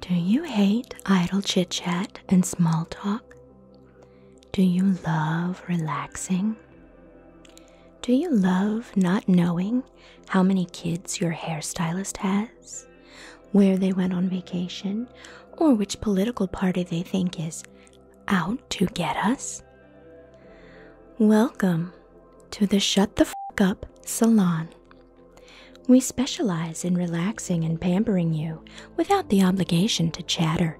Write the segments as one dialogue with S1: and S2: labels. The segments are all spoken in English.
S1: Do you hate idle chit chat and small talk? Do you love relaxing? Do you love not knowing how many kids your hairstylist has, where they went on vacation, or which political party they think is out to get us? Welcome to the Shut the F Up Salon, we specialize in relaxing and pampering you without the obligation to chatter.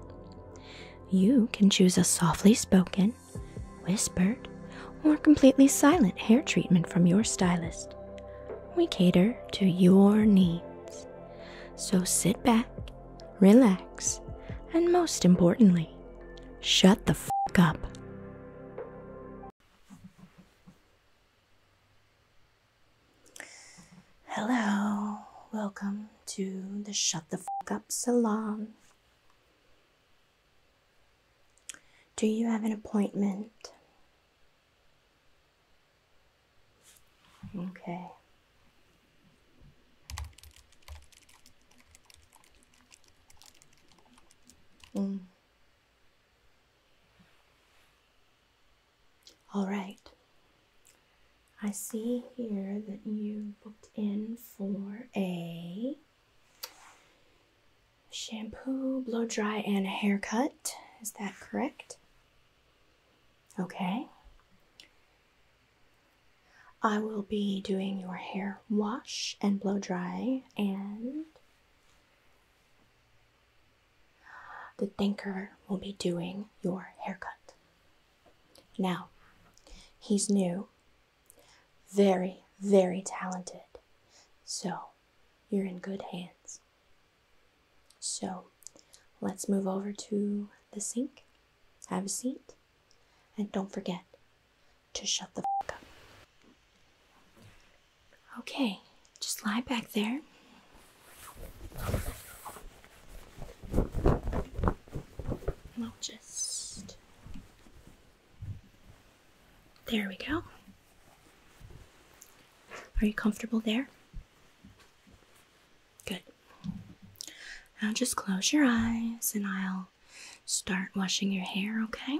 S1: You can choose a softly spoken, whispered, or completely silent hair treatment from your stylist. We cater to your needs. So sit back, relax, and most importantly, shut the f up. Hello, welcome to the Shut the Fuck Up Salon. Do you have an appointment? Okay. Mm. All right. I see here that you booked in for a shampoo, blow dry, and a haircut. Is that correct? Okay. I will be doing your hair wash and blow dry and the thinker will be doing your haircut. Now, he's new, very, very talented, so you're in good hands. So, let's move over to the sink, have a seat, and don't forget to shut the f up. Okay, just lie back there. And will just. There we go. Are you comfortable there? Good. Now just close your eyes and I'll start washing your hair, okay?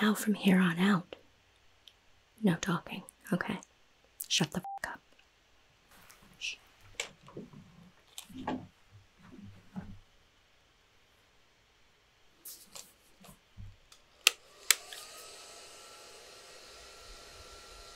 S1: Now, from here on out, no talking, okay? Shut the fuck up.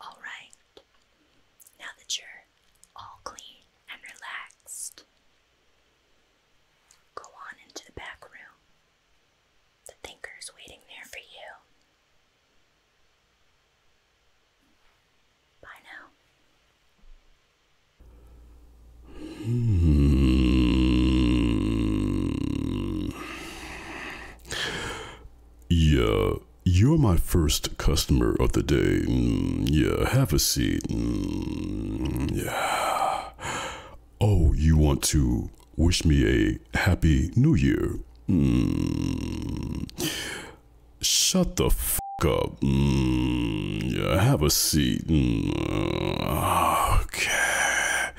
S1: All right, now that you're all clean and relaxed, go on into the back room. The thinker's waiting there for you. Bye hmm.
S2: now. Yeah, you're my first customer of the day. Mm, yeah, have a seat. Hmm, yeah. Oh, you want to wish me a happy new year. Mm. Shut the f up. Hmm. Yeah, have a seat. Hmm. Okay.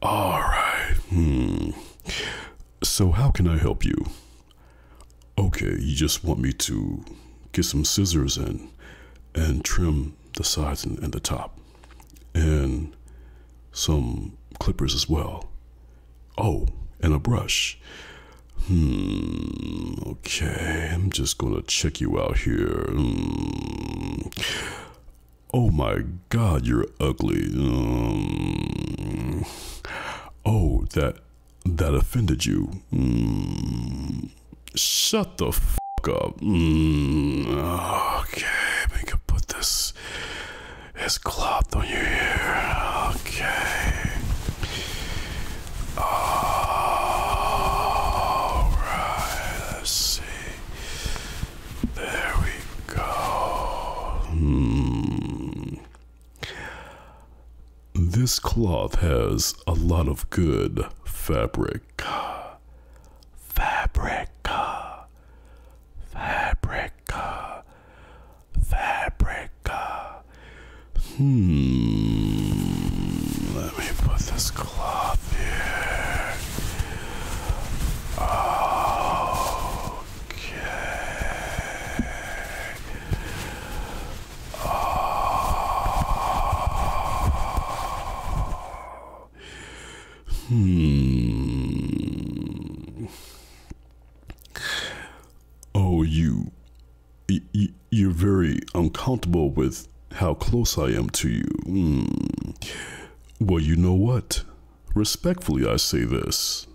S2: All right. Hmm. So, how can I help you? Okay, you just want me to get some scissors and and trim the sides and the top and some clippers as well. Oh, and a brush. Hmm, okay, I'm just gonna check you out here. Hmm. Oh my god, you're ugly. Hmm. oh, that that offended you. Hmm. Shut the f up.
S3: Okay, we can put this it's cloth? on your ear. Okay. Alright, see. There we go. Hmm.
S2: This cloth has a lot of good fabric.
S3: Fabric. Fabrica. Fabrica. Hmm. Let me put this cloth here. Okay.
S2: Oh. Hmm. Oh, you, you. are very uncomfortable with how close I am to you. Hmm. Well, you know what? Respectfully, I say this.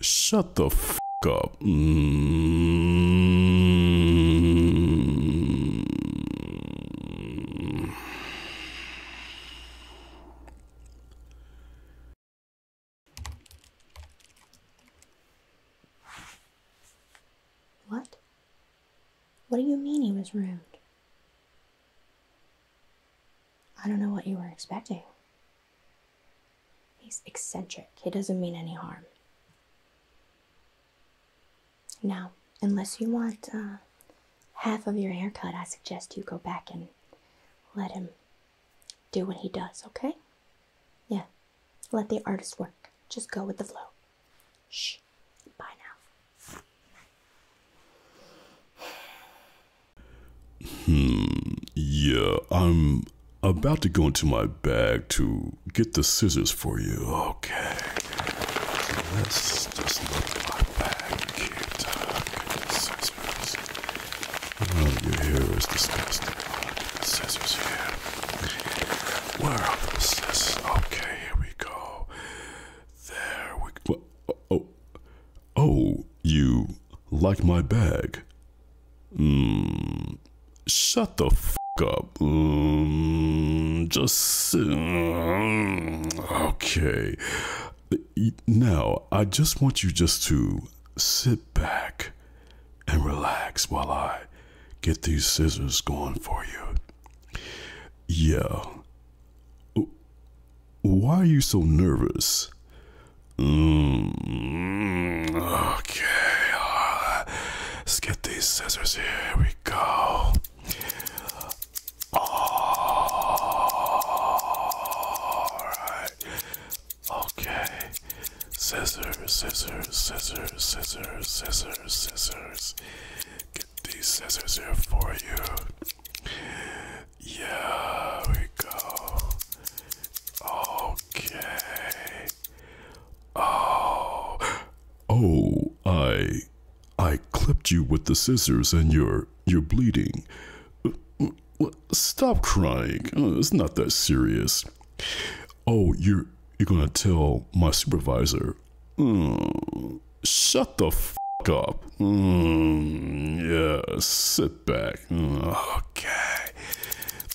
S2: Shut the f up. Hmm.
S1: What? What do you mean he was rude? I don't know what you were expecting. He's eccentric. He doesn't mean any harm. Now, unless you want uh, half of your haircut, I suggest you go back and let him do what he does, okay? Yeah, let the artist work. Just go with the flow. Shh. Bye now.
S2: Hmm. Yeah, I'm about to go into my bag to get the scissors for
S3: you. Okay, let's just look like that cute. Okay, the scissors. Well, your hair is disgusting. The scissors here. Where are the scissors? Okay, here we go. There
S2: we go. Oh, oh, oh, you like my bag? Hmm. Shut the f up. Um, just. Hmm. Okay. Now, I just want you just to sit
S3: back and relax while I get these scissors going for you.
S2: Yeah. Why are you so nervous? Mm,
S3: okay. Uh, let's get these scissors. Here we go. Alright. Okay. Scissors, scissors, scissors, scissors, scissors, scissors. Get these scissors here for you.
S2: Yeah, we go. Okay. Oh. Oh, I I clipped you with the scissors and you're you're bleeding. Uh, stop crying. Uh, it's not that serious. Oh, you're you're gonna tell my supervisor. Uh, shut the f up. Mm, yeah, sit back.
S3: Mm, okay,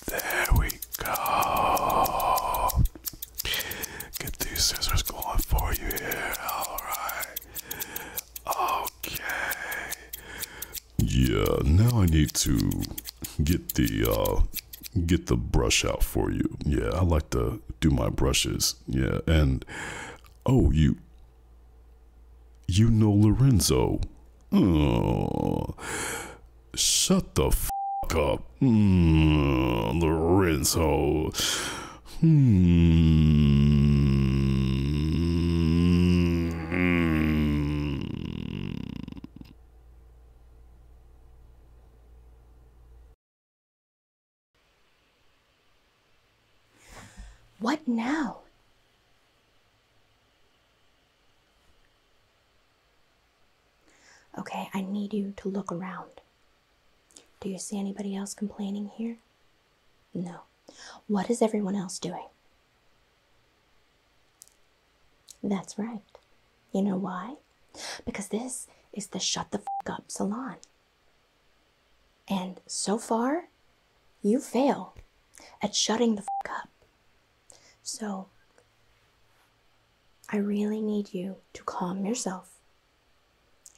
S3: there we go. Get these scissors going for you here. Alright. Okay.
S2: Yeah, now I need to get the uh get the brush out for you. Yeah, I like to do my brushes. Yeah, and oh you you know Lorenzo. Oh, shut the f up. Mm, the rinse hole. Hmm.
S1: What now? Okay, I need you to look around. Do you see anybody else complaining here? No. What is everyone else doing? That's right. You know why? Because this is the shut the fuck up salon. And so far, you fail at shutting the fuck up. So, I really need you to calm yourself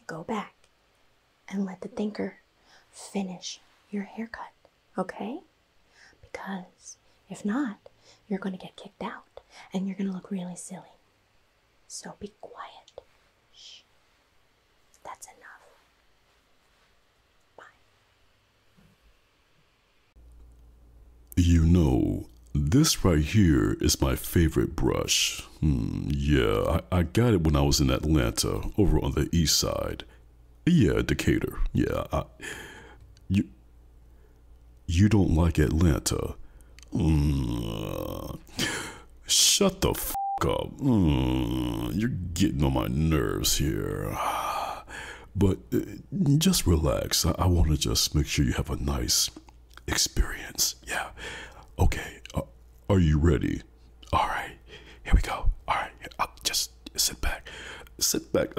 S1: Go back and let the thinker finish your haircut, okay? Because if not, you're going to get kicked out and you're going to look really silly. So be quiet. Shh. That's enough. Bye.
S2: You know, this right here is my favorite brush. Hmm, yeah, I, got it when I was in Atlanta, over on the east side. Yeah, Decatur. Yeah, I, you, you don't like Atlanta. Hmm, shut the f up. Hmm, you're getting on my nerves here. But uh, just relax. I want to just make sure you have a nice experience. Yeah. Okay. Uh, are you ready? All right. Here we go. All right. I'll just sit back. Sit back.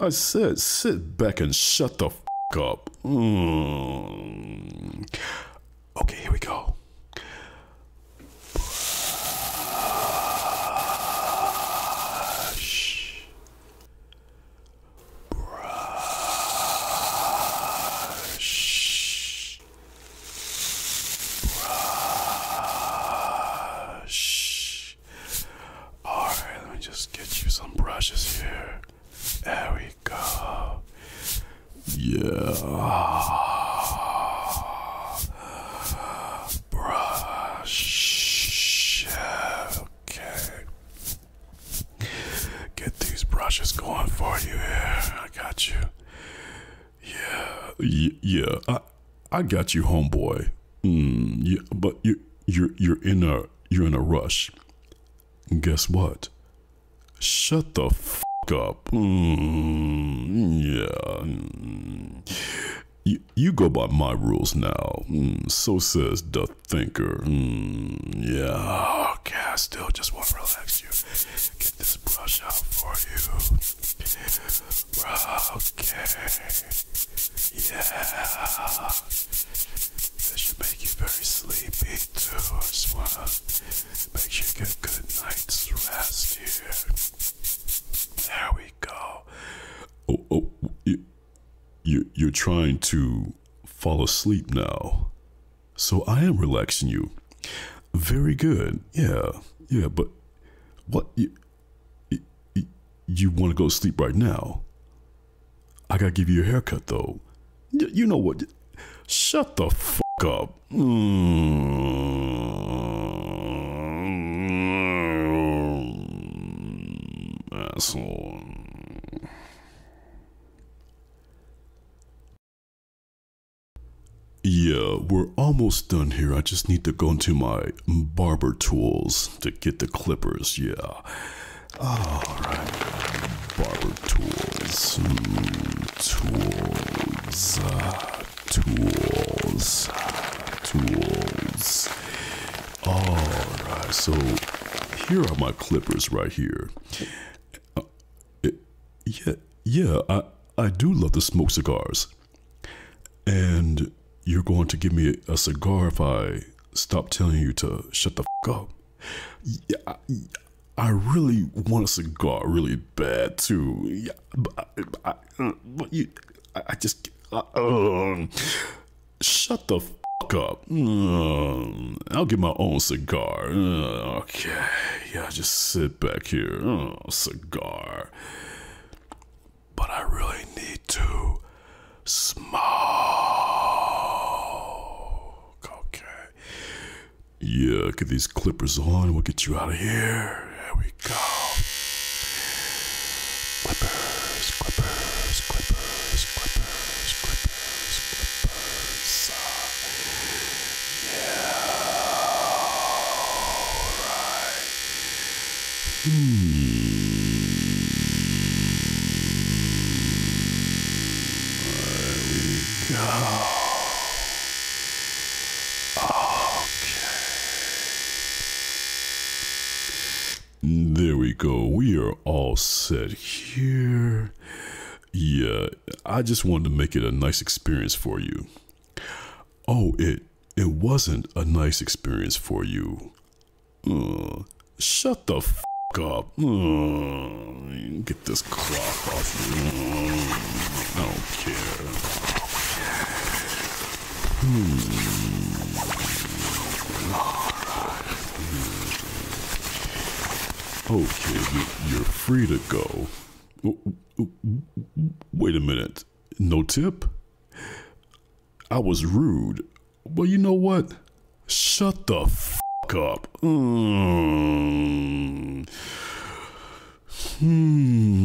S2: I, said sit back and shut the f up.
S3: Hmm. Okay. Here we go. Brush. Brush. Alright, let me just get you some brushes here. There we go.
S2: Yeah.
S3: Brush. Okay. Get these brushes going for you I got you. Yeah,
S2: yeah. I, I got you, homeboy. Mm, yeah, but you, you're you're in a you're in a rush. Guess what? Shut the f up. Mm, yeah. Mm. You, you go by my rules now. Mm, so says the thinker. Mm, yeah. Okay,
S3: I still just want to relax you. Get this brush out for you. Okay. Yeah. This should make you very sleepy too. I just want to make sure you get good night's rest
S2: here. There we go. Oh, oh, you you, are trying to fall asleep now. So I am relaxing you. Very good. Yeah. Yeah. But what? You, want to go to sleep right now? I got to give you a haircut, though. you know what? Shut the fuck up. Mm. Yeah, we're almost done here. I just need to go into my barber tools to get the clippers. Yeah.
S3: Alright.
S2: Barber tools. Tools. Tools. Tools. All right, so here are my clippers right here. Uh, yeah, yeah, I, I do love to smoke cigars. And you're going to give me a cigar if I stop telling you to shut the f up. Yeah, I, I really want a cigar really bad too. Yeah, but I, I, but you, I, just, uh, uh, Shut the fuck up. Mm, I'll get my own cigar. Uh, okay, yeah, just sit back here. Uh, cigar.
S3: But I really need to smoke.
S2: Okay. Yeah, get these clippers on.
S3: We'll get you out of here. we go. Clippers, clippers, clippers, clippers, clippers, clippers. Uh, yeah. Alright. Hmm. Go. Okay.
S2: There we go. We are all set
S3: here.
S2: Yeah, I just wanted to make it a nice experience for you. Oh, it it wasn't a nice experience for you. Uh, shut the f up. Uh, get this cloth off me. I don't care. Hmm. Okay, you, are free to go. Wait a minute. No tip? I was rude. Well, you know what? Shut the f up. Hmm. Hmm.